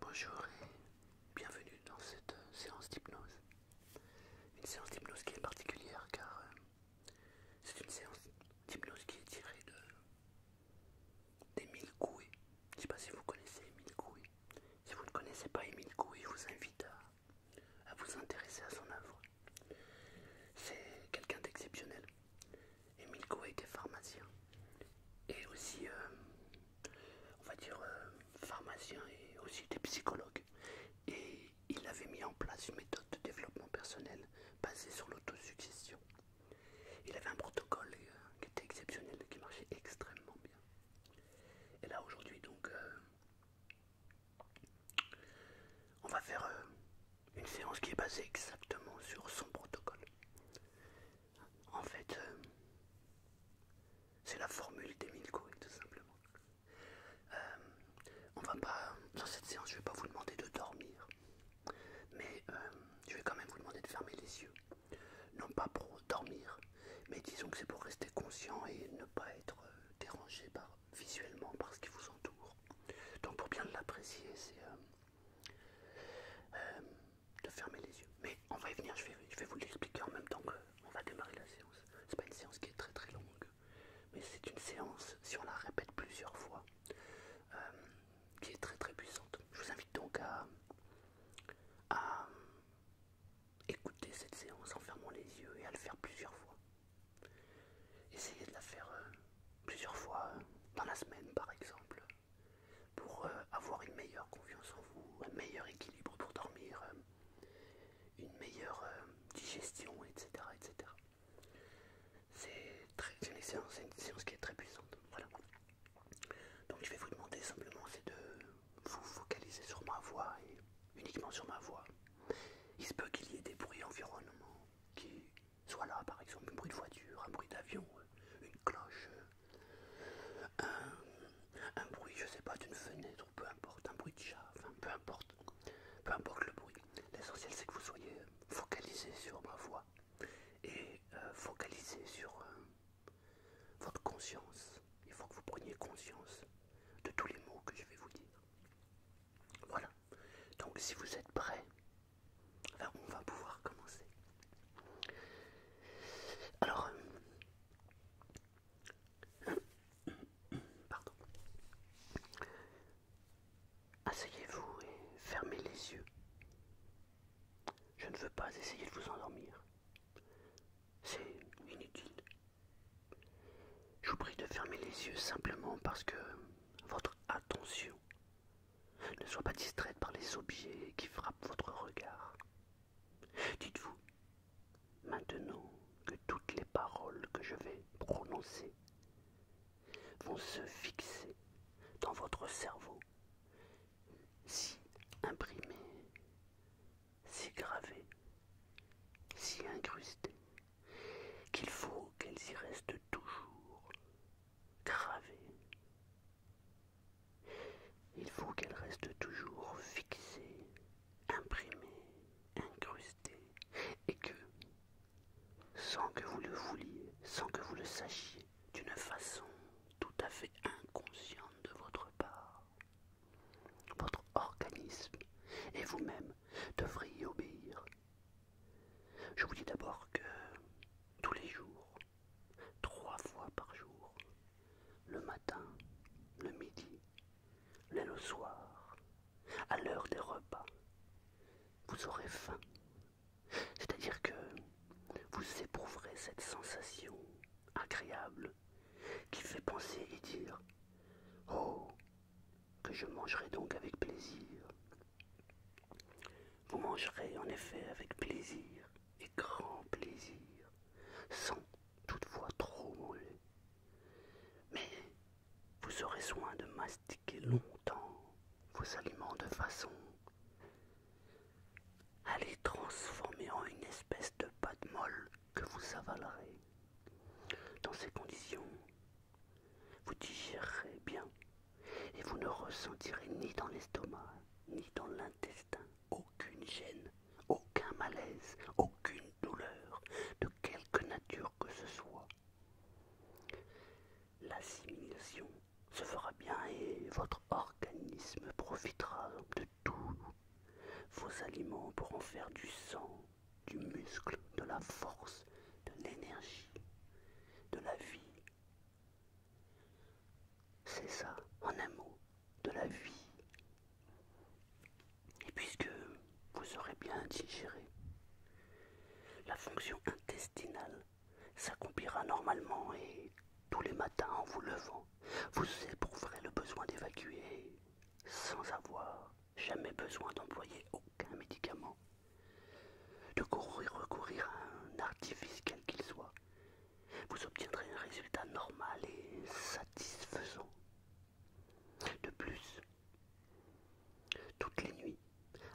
Bonjour et bienvenue dans cette euh, séance d'hypnose. Une séance d'hypnose qui est particulière car euh, c'est une séance d'hypnose qui est tirée de, des Je ne sais pas si vous connaissez Emile Coué. Si vous ne connaissez pas Emile Coué, je vous invite à à, vous intéresser à son œuvre. C'est quelqu'un d'exceptionnel. Emilko était était pharmacien. Et aussi, euh, on va dire, euh, pharmacien et aussi des psychologues. Et il avait mis en place une méthode de développement personnel basée sur l'autosuggestion. Il avait un protocole euh, qui était exceptionnel, qui marchait extrêmement bien. Et là aujourd'hui, donc, on va faire euh, une séance qui est basée exactement sur son protocole. En fait, euh, c'est la formule d'Emile tout simplement. Euh, on va pas, dans cette séance, je vais pas vous demander de dormir, mais je vais quand même vous demander de fermer les yeux. Non pas pour dormir, mais disons que c'est pour rester conscient et ne pas être dérangé par visuellement par ce qui vous entoure. Donc pour bien l'apprécier, c'est euh, euh, de fermer les yeux. Mais on va y venir, je vais, vous l'expliquer en même temps que qu'on va démarrer la séance. C'est pas une séance qui est très très longue, mais c'est une séance, si on la répète plusieurs fois, euh, qui est très très puissante. Je vous invite donc à Écoutez cette séance en fermant les yeux et à le faire plusieurs fois. Essayez de la faire euh, plusieurs fois euh, dans la semaine par exemple, pour euh, avoir une meilleure confiance en vous, un meilleur équilibre pour dormir, une meilleure digestion, etc. C'est très une séance, une séance qui est très puissante. Donc je vais vous demander simplement c'est de vous focaliser sur ma voix et uniquement sur ma voix. Il se peut qu'il y ait des bruits environnementaux qui soient là, par exemple un bruit de voiture, un bruit d'avion, une cloche, un, bruit, je sais pas, d'une fenêtre, peu importe, un bruit de chat, peu importe, peu importe le bruit. L'essentiel c'est que vous soyez focalisé sur ma voix et euh, focalisé sur euh, votre conscience il faut que vous preniez conscience de tous les mots que je vais vous dire. Voilà. Donc si vous êtes prêts, ben, on va pouvoir commencer. Alors, euh, pardon. Asseyez-vous et fermez les yeux. Je ne veux pas essayer de vous endormir. C'est inutile. Je vous prie de fermer les yeux simplement parce que votre attention ne soit pas distraite par les objets qui frappent votre regard. Dites-vous, maintenant que toutes les paroles que je vais prononcer vont se fixer dans votre cerveau, si imprimer si gravées, si incrustées, qu'il faut qu'elles y restent toujours gravées. Il faut qu'elle reste toujours fixée, imprimées, incrustées, et que, sans que vous le vouliez, sans que vous le sachiez, d'une façon tout à fait inconsciente de votre part, votre organisme et vous-même devriez y obéir. Je vous dis d'abord que tous les jours, trois fois par jour, le matin, le midi, le soir, à l'heure des repas, vous aurez faim. C'est-à-dire que vous éprouverez cette sensation agréable qui fait penser et dire Oh, que je mangerai donc avec plaisir. Vous mangerez en effet avec plaisir et grand plaisir, sans toutefois trop moller Mais vous aurez soin de mastiquer longtemps vos aliments de façon à les transformer en une espèce de pâte molle que vous avalerez. Dans ces conditions, vous digérerez bien et vous ne ressentirez ni dans l'estomac, ni dans l'intestin aucune gêne, aucun malaise, aucune douleur de quelque nature que ce soit. L'assimilation se fera bien et votre organisme profitera de tout vos aliments pourront faire du sang, du muscle, de la force, de l'énergie, de la vie. C'est ça, en un mot, de la vie. Et puisque vous aurez bien digéré, la fonction intestinale s'accomplira normalement et tous les matins, en vous levant, vous éprouverez le besoin d'évacuer sans avoir jamais besoin d'employer aucun médicament, de courir, recourir à un artifice quel qu'il soit. Vous obtiendrez un résultat normal et satisfaisant. De plus, toutes les nuits,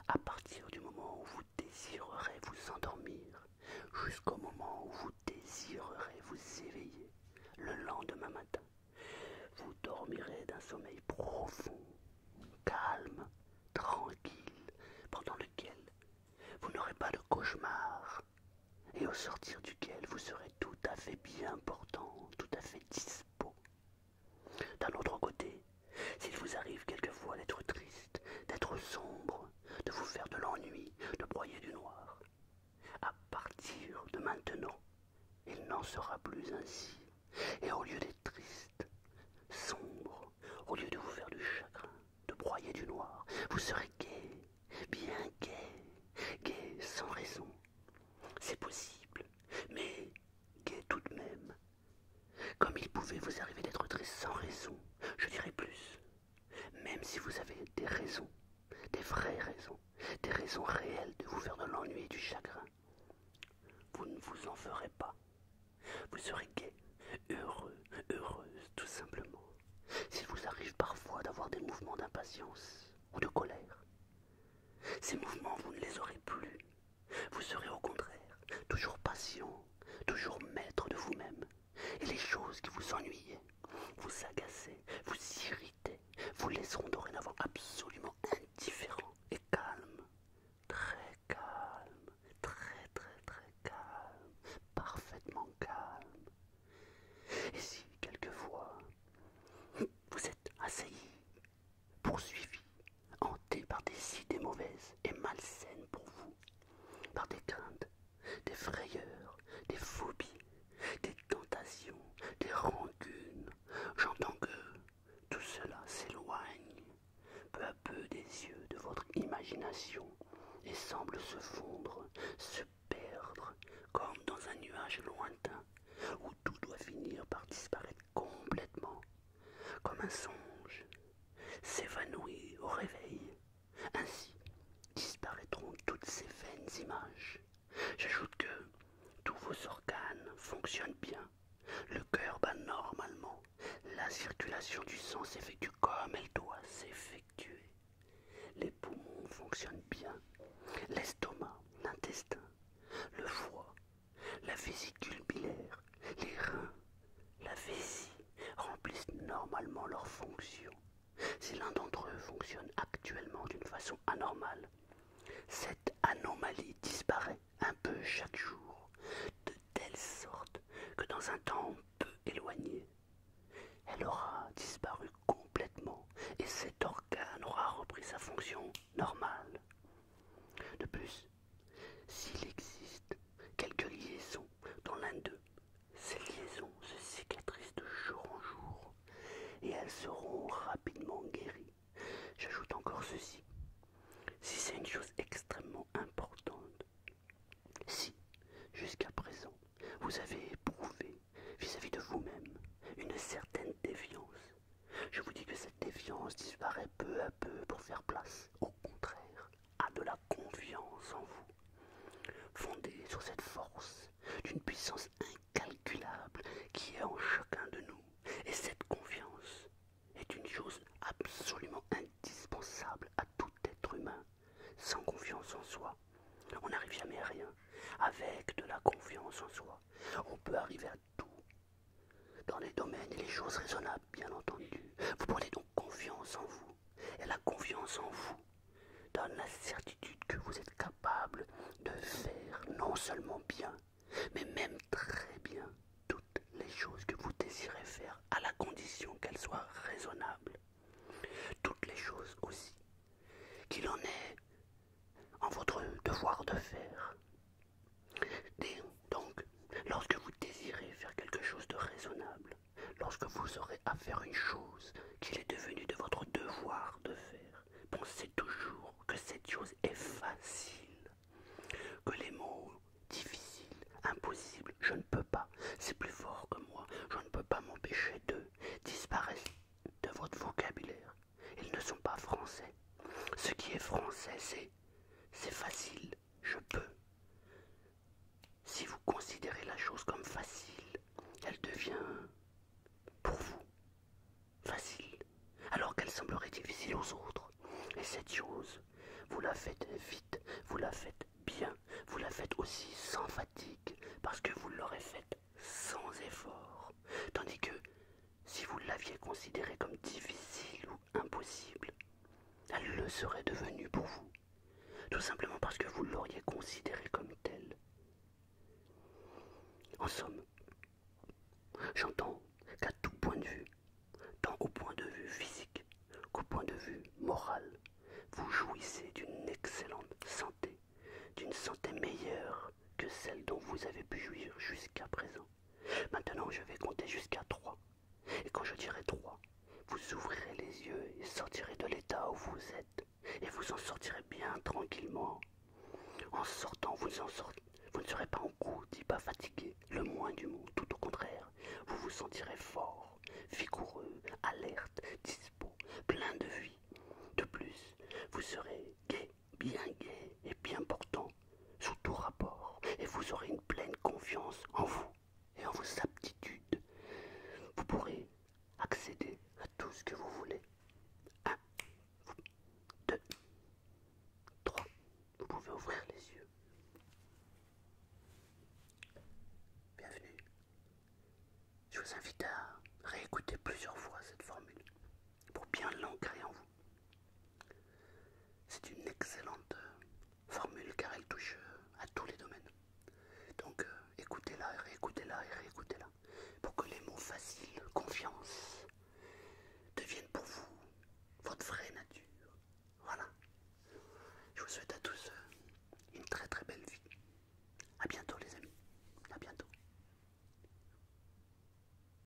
à partir du moment où vous désirerez vous endormir, jusqu'au moment où vous désirerez vous éveiller le lendemain matin. Vous dormirez d'un sommeil profond, calme, tranquille, pendant lequel vous n'aurez pas de cauchemar et au sortir duquel vous serez tout à fait bien portant, tout à fait dispo. D'un autre côté, s'il vous arrive quelquefois d'être triste, d'être sombre, de vous faire de l'ennui, de broyer du noir. À partir de maintenant, il n'en sera plus ainsi. Et au lieu d'être triste, sombre, au lieu de vous faire du chagrin, de broyer du noir, vous serez gai, bien gai, gai sans raison. C'est possible, mais gai tout de même. Comme il pouvait vous arriver d'être triste sans raison, je dirais plus, même si vous avez des raisons, des vraies raisons, des raisons réelles de vous faire de l'ennui et du chagrin, vous ne vous en ferez pas. Vous serez gai, heureux, heureuse, tout simplement. S'il vous arrive parfois d'avoir des mouvements d'impatience ou de colère, ces mouvements, vous ne les aurez plus. Vous serez au contraire toujours patient, toujours maître de vous-même, et les choses qui vous ennuyaient, vous agaçaient, vous irritaient, vous laisseront dorénavant absolument indifférent et calme, très calme, très très très calme, parfaitement calme. Et si quelquefois vous êtes assailli, poursuivi, hanté par des idées mauvaises et malsaines pour vous, par des craintes des frayeurs, des phobies, des tentations, des rancunes. J'entends que tout cela s'éloigne peu à peu des yeux de votre imagination et semble se fondre, se perdre, comme dans un nuage lointain, où tout doit finir par disparaître complètement, comme un songe, s'évanouit au réveil, ainsi disparaîtront toutes ces vaines images. J'ajoute que tous vos organes fonctionnent bien. Le cœur bat normalement. La circulation du sang s'effectue comme elle doit s'effectuer. Les poumons fonctionnent bien. L'estomac, l'intestin, le foie, la vésicule biliaire, les reins, la vessie remplissent normalement leurs fonctions. Si l'un d'entre eux fonctionne actuellement d'une façon anormale, cette anomalie disparaît un peu chaque jour, de telle sorte que dans un temps peu éloigné, elle aura disparu complètement et cet organe aura repris sa fonction normale. De plus, s'il existe quelques liaisons dans l'un d'eux, ces liaisons se cicatrisent de jour en jour et elles seront rapidement guéries. J'ajoute encore ceci. Si c'est une chose extrêmement importante, si jusqu'à présent vous avez éprouvé vis-à-vis de vous-même une certaine défiance, je vous dis que cette défiance disparaît peu à peu pour faire place, au contraire, a de la confiance en vous, fondée sur cette force d'une puissance incalculable qui est en chacun de nous. Et cette confiance est une chose absolument indispensable à tout être humain. Sans confiance en soi, on n'arrive jamais à rien. Avec de la confiance en soi, on peut arriver à tout dans les domaines et les choses raisonnables, bien entendu. Vous confiance en vous. Et la confiance en vous donne la certitude que vous êtes capable de faire non seulement bien, mais même très bien toutes les choses que vous désirez faire à la condition qu'elles soient raisonnables. Toutes les choses aussi qu'il en est en votre devoir de faire donc, lorsque vous désirez faire quelque chose de raisonnable, lorsque vous aurez à faire une chose qu'il est devenu de votre devoir de faire, pensez toujours que cette chose est facile, que les mots difficiles, impossibles, je ne peux pas, c'est plus fort que moi, je ne peux pas m'empêcher d'eux, disparaissent de votre vocabulaire. Ils ne sont pas français. Ce qui est français, c'est c'est facile, je peux. Si vous considérez la chose comme facile, elle devient pour vous facile, alors qu'elle semblerait difficile aux autres. Et cette chose, vous la faites vite, vous la faites bien, vous la faites aussi sans fatigue, parce que vous l'aurez faite sans effort. Tandis que si vous l'aviez considérée comme difficile impossible. Elle le serait devenue pour vous, tout simplement parce que vous l'auriez considérée comme telle. En somme, j'entends qu'à tout point de vue, tant au point de vue physique qu'au point de vue moral, vous jouissez d'une excellente santé, d'une santé meilleure que celle dont vous avez pu jouir jusqu'à présent. Maintenant, je vais compter jusqu'à 3. Et quand je dirai 3, vous ouvrirez les yeux et sortirez de l'état où vous êtes. Et vous en sortirez bien tranquillement. En sortant, vous, ne serez pas en ni pas fatigué, le moins du monde. Tout au contraire, vous vous sentirez fort, vigoureux, alerte, dispos, plein de vie. De plus, vous serez gai, bien gai et bien portant, sous tout rapport, et vous aurez une pleine confiance en vous et en vos aptitudes. Vous pourrez accéder à tout ce que vous voulez. 1, 2, 3. Vous pouvez ouvrir les yeux. Bienvenue. Je vous invite à réécouter plusieurs fois cette formule pour bien l'ancrer en vous. C'est une excellente euh, formule car elle touche euh, à tous les domaines. Donc euh, écoutez-la, réécoutez-la et réécoutez-la pour que les mots faciles, confiance, deviennent pour vous votre vraie nature. Voilà. Je vous souhaite à tous une très très belle vie. à bientôt les amis. À bientôt.